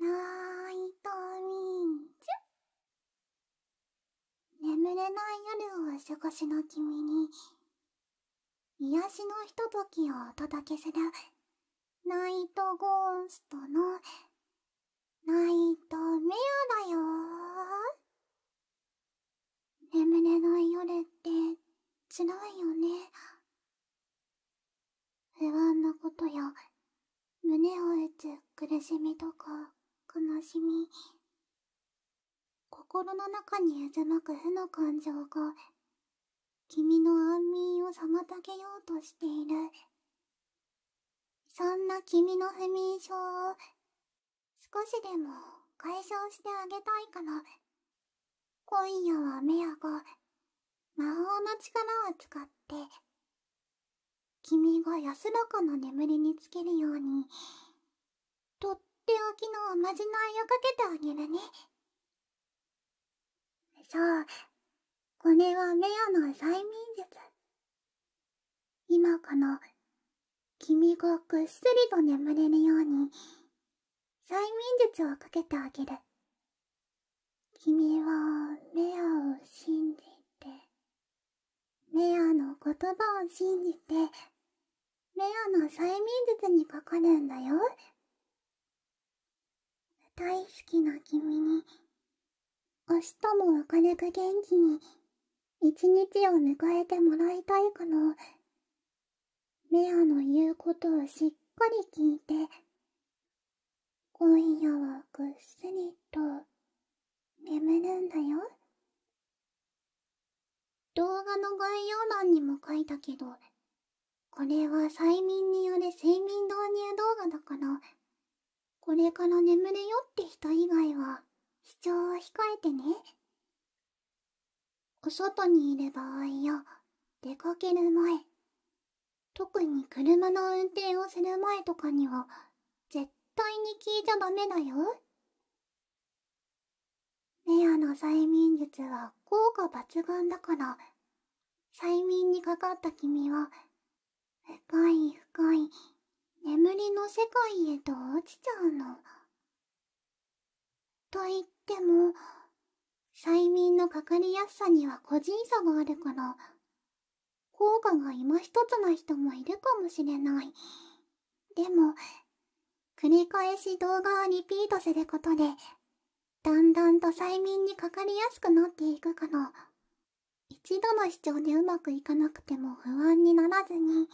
ナイトミンチュ眠れない夜をお過ごしの君に癒やしのひとときをお届けするナイトゴーストのナイトメアだよ眠れない夜ってつらいよね不安なことや胸を打つ苦しみとか悲しみ心の中に渦巻く負の感情が君の安眠を妨げようとしているそんな君の不眠症を少しでも解消してあげたいから今夜はメアが魔法の力を使って君が安らかな眠りにつけるようにとっておきのおまじないをかけてあげるねそうこれはメアの催眠術今この君がぐっすりと眠れるように催眠術をかけてあげる君はメアを信じてメアの言葉を信じてメアの催眠術にかかるんだよ大好きな君に明日も明るく元気に一日を迎えてもらいたいからメアの言うことをしっかり聞いて今夜はぐっすりと眠るんだよ動画の概要欄にも書いたけどこれは催眠による睡眠導入動画だからこれから眠れよって人以外は視聴は控えてねお外にいる場合や出かける前特に車の運転をする前とかには絶対に聞いちゃダメだよレアの催眠術は効果抜群だから催眠にかかった君は深い深い眠りの世界へと落ちちゃうのといっても催眠のかかりやすさには個人差があるから効果が今一つな人もいるかもしれないでも繰り返し動画をリピートすることでだんだんと催眠にかかりやすくなっていくから一度の視聴でうまくいかなくても不安にならずに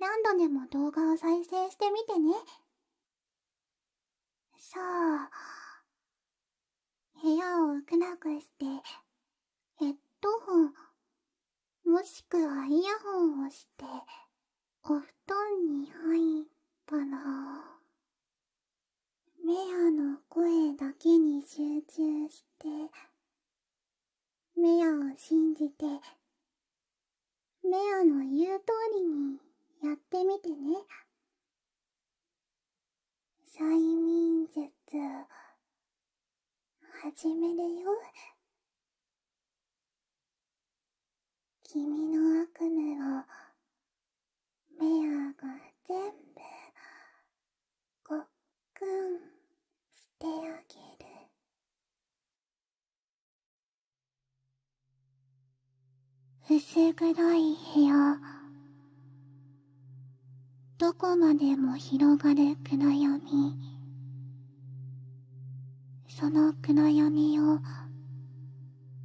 何度でも動画を再生してみてねさあ、部屋を暗くしてヘッドホンもしくはイヤホンをしてお布団に入ったらメアの声だけに集中してメアを信じてメアの言う通りにやってみてね催眠術始めるよ君の悪夢をメアが全部ごっくんしてあげる薄暗い部屋どこまでも広がる暗闇その暗闇を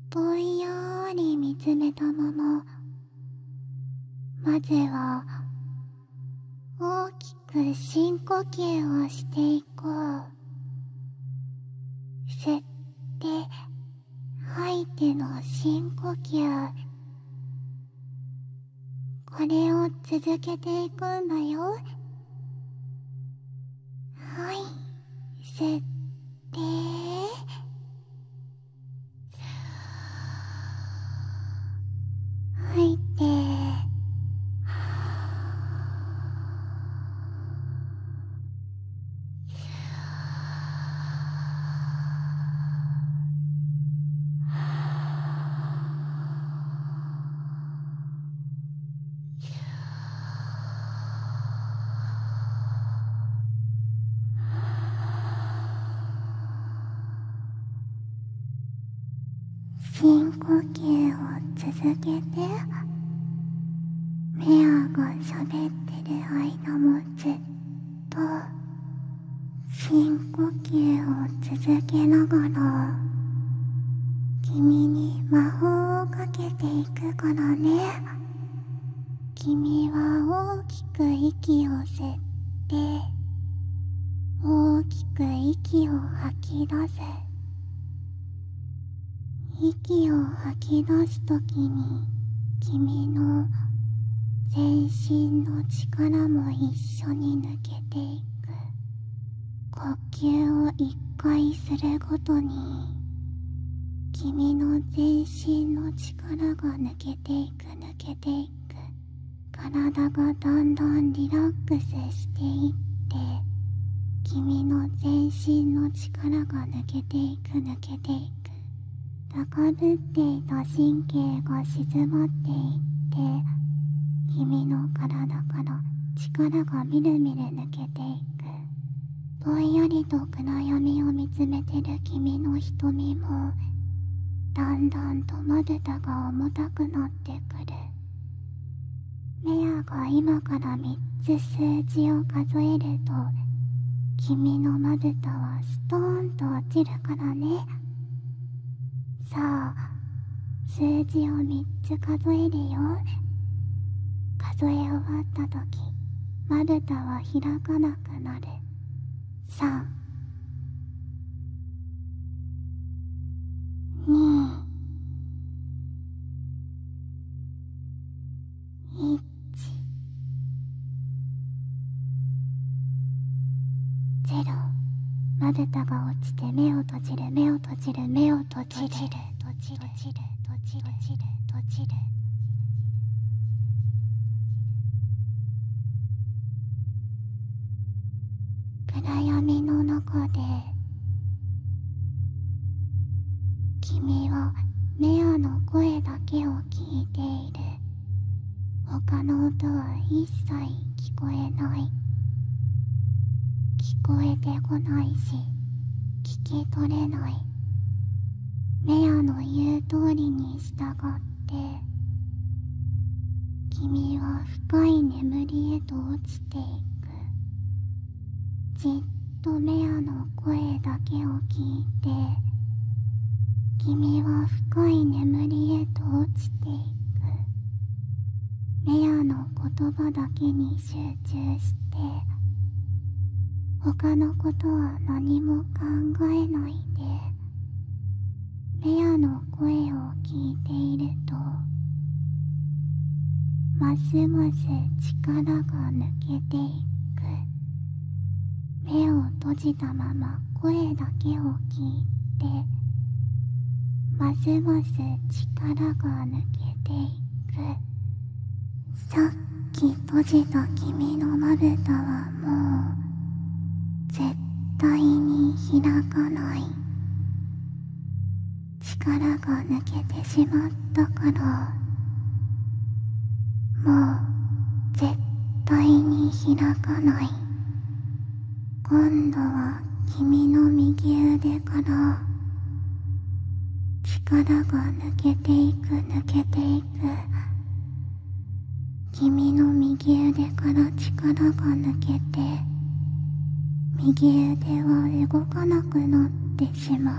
ぼんやり見つめたまままずは大きく深呼吸をしていこう吸って吐いての深呼吸これを続けていくんだよはい吸って吐いて深呼吸を続けて目をごしゃべっててる間もずっと深呼吸を続けながら君に魔法をかけていくからね君は大きく息を吸って大きく息を吐き出す息を吐き出す時に君の全身の力も一緒に抜けていく呼吸を一回するごとに君の全身の力が抜けていく抜けていく体がだんだんリラックスしていって君の全身の力が抜けていく抜抜けていく高ぶっていた神経が静まっていって君の体から力がみるみる抜けていくぼんやりと暗闇を見つめてる君の瞳もだんだんとまぶたが重たくなってくる目や今から3つ数字を数えると君のまぶたはストーンと落ちるからねさあ数字を3つ数えるよ数え終わった時まぶたは開かなくなる3 2ゼ0まぶたが落ちて目を閉じる目を閉じる目を閉じる閉じる閉じる閉じる暗闇の中で君はメアの声だけを聞いている他の音は一切聞こえない聞こえてこないし聞き取れないメアの言う通りに従って君は深い眠りへと落ちていくじっとメアの声だけを聞いて君は深い眠りへと落ちていくメアの言葉だけに集中して他のことは何も考えないでメアの声を聞いているとますます力が抜け。けていく目を閉じたまま声だけを聞いてますます力が抜けていくさっき閉じた君のまぶたはもう絶対に開かない力が抜けてしまったからもう絶対に開かない今度は君の右腕から力が抜けていく抜けていく君の右腕から力が抜けて右腕は動かなくなってしまう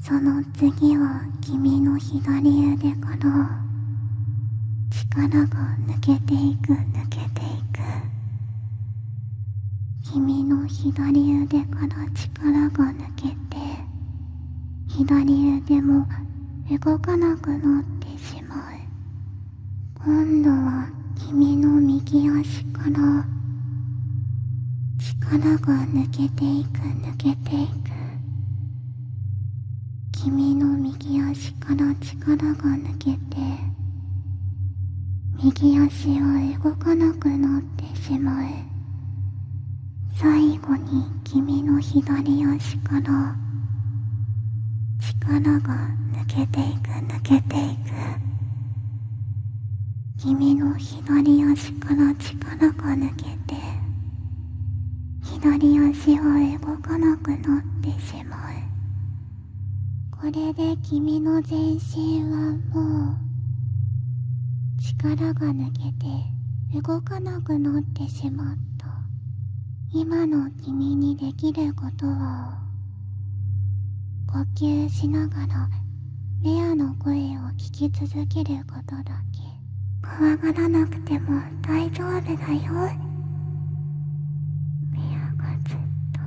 その次は君の左腕から力が抜けていく抜けていく君の左腕から力が抜けて左腕も動かなくなってしまう今度は君の右足から力が抜けていく抜けていく君の右足から力が抜けて右足は動かなくなってしまう最後に君の左足から力が抜けていく抜けていく君の左足から力が抜けて左足は動かなくなってしまうこれで君の全身はもう力が抜けて動かなくなってしまった今の君にできることは呼吸しながらレアの声を聞き続けることだけ怖がらなくても大丈夫だよレアがずっと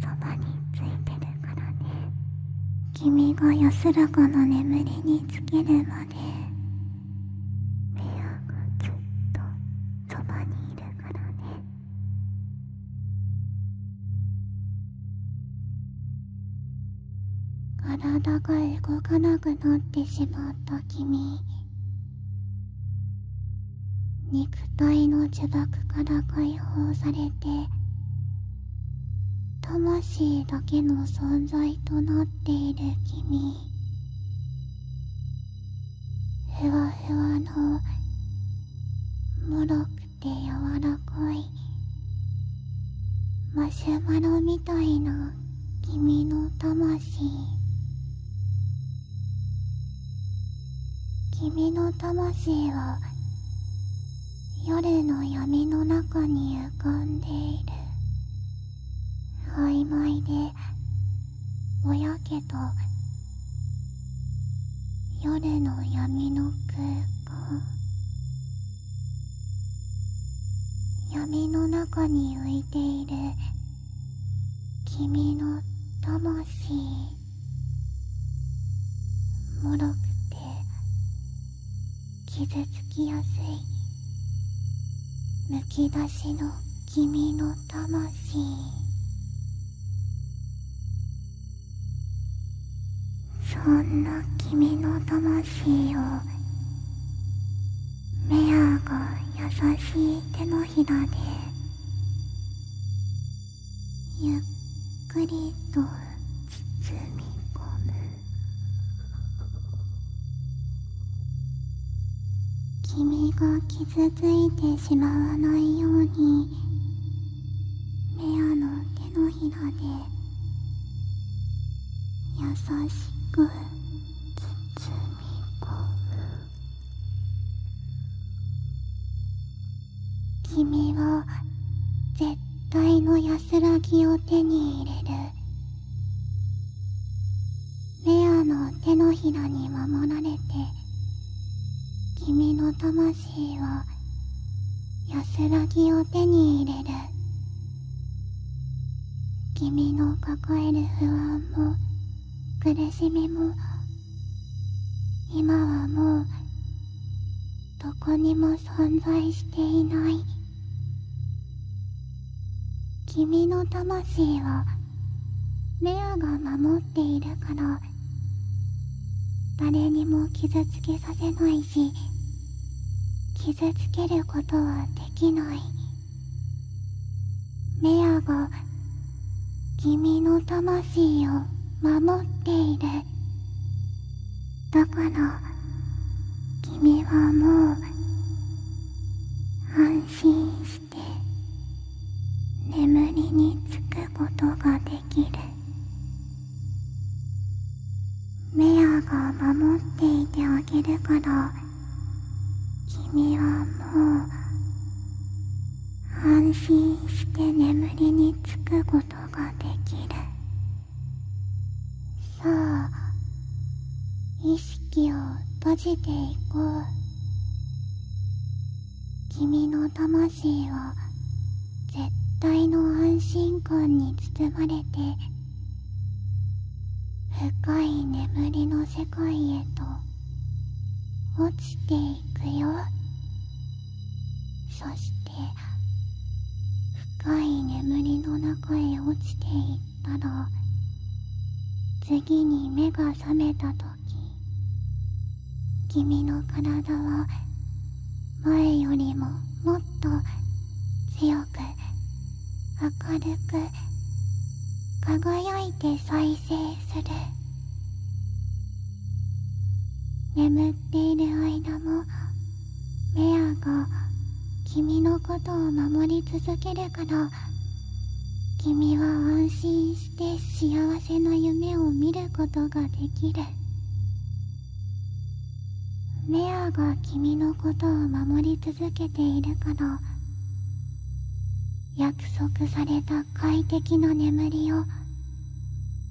そばについてるからね君が安らかな眠りにつけるまでレアがずっとそばにいるからね体が動かなくなってしまった君肉体の呪縛から解放されて魂だけの存在となっている君ふわふわのもろくくて柔らかいマシュマロみたいな君の魂君の魂は夜の闇の中に浮かんでいる曖昧でぼやけと夜の闇の空間闇の中に浮いている君の魂もろくて傷つきやすいむき出しの君の魂そんな君の魂をメアが優しい手のひらでゆっくりと包み込む君が傷ついてしまわないようにレアの手のひらで優しく包み込む君は絶対の安らぎを手に入れるレアの手のひらに守られて君の魂を安らぎを手に入れる君の抱える不安も苦しみも今はもうどこにも存在していない君の魂は？レアが守っているから誰にも傷つけさせないし傷つけることはできないメアが君の魂を守っているだから君はもう安心して。眠りにつくことができるメアが守っていてあげるから君はもう安心して眠りにつくことができるさあ意識を閉じていこう君の魂は絶対の安心感に包まれて深い眠りの世界へと落ちていくよそして深い眠りの中へ落ちていったら次に目が覚めた時君の体は前よりももっと強く明るく輝いて再生する眠っている間もメアが君のことを守り続けるから君は安心して。して幸せの夢を見ることができるメアが君のことを守り続けているから約束された快適な眠りを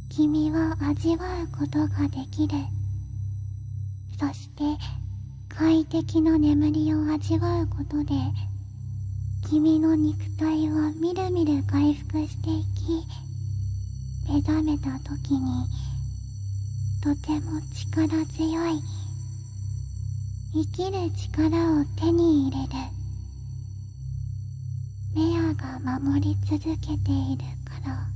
君は味わうことができるそして快適な眠りを味わうことで君の肉体はみるみる回復していき目覚めた時にとても力強い生きる力を手に入れるメアが守り続けているから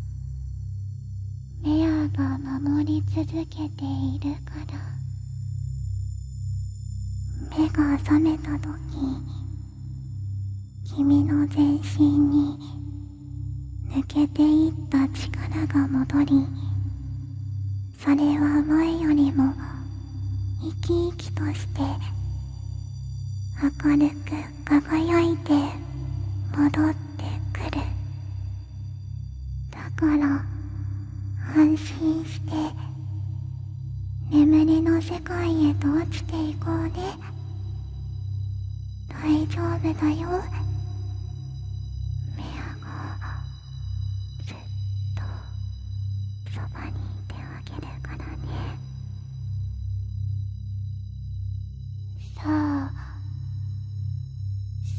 メアが守り続けているから目が覚めた時君の全身に抜けていった力が戻りそれは前よりも生き生きとして明るく輝いて戻ってくるだから安心して眠りの世界へと落ちていこうね大丈夫だよメアがずっとそばにいてあげるからねさあ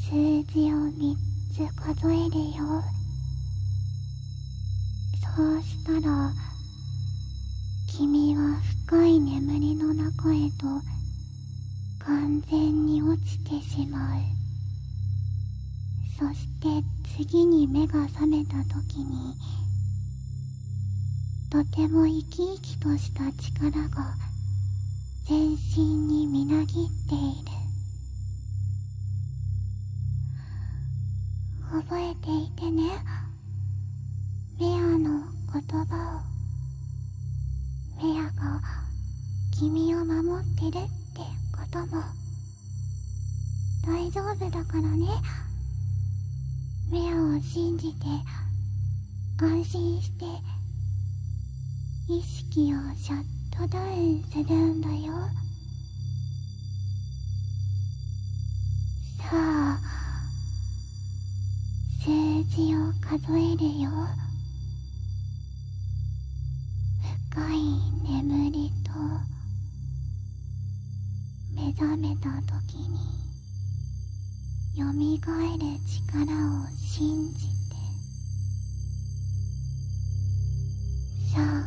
数字を3つ数えるよそうしたら君は深い眠りの中へと完全に落ちてしまうそして次に目が覚めた時にとても生き生きとした力が全身にみなぎっている覚えていてねメアの言葉をメアが君を守ってるってことも大丈夫だからねメアを信じて安心して意識をシャットダウンするんだよさあ数字を数えるよ深い眠りと目覚めた時によみがえる力を信じてさあ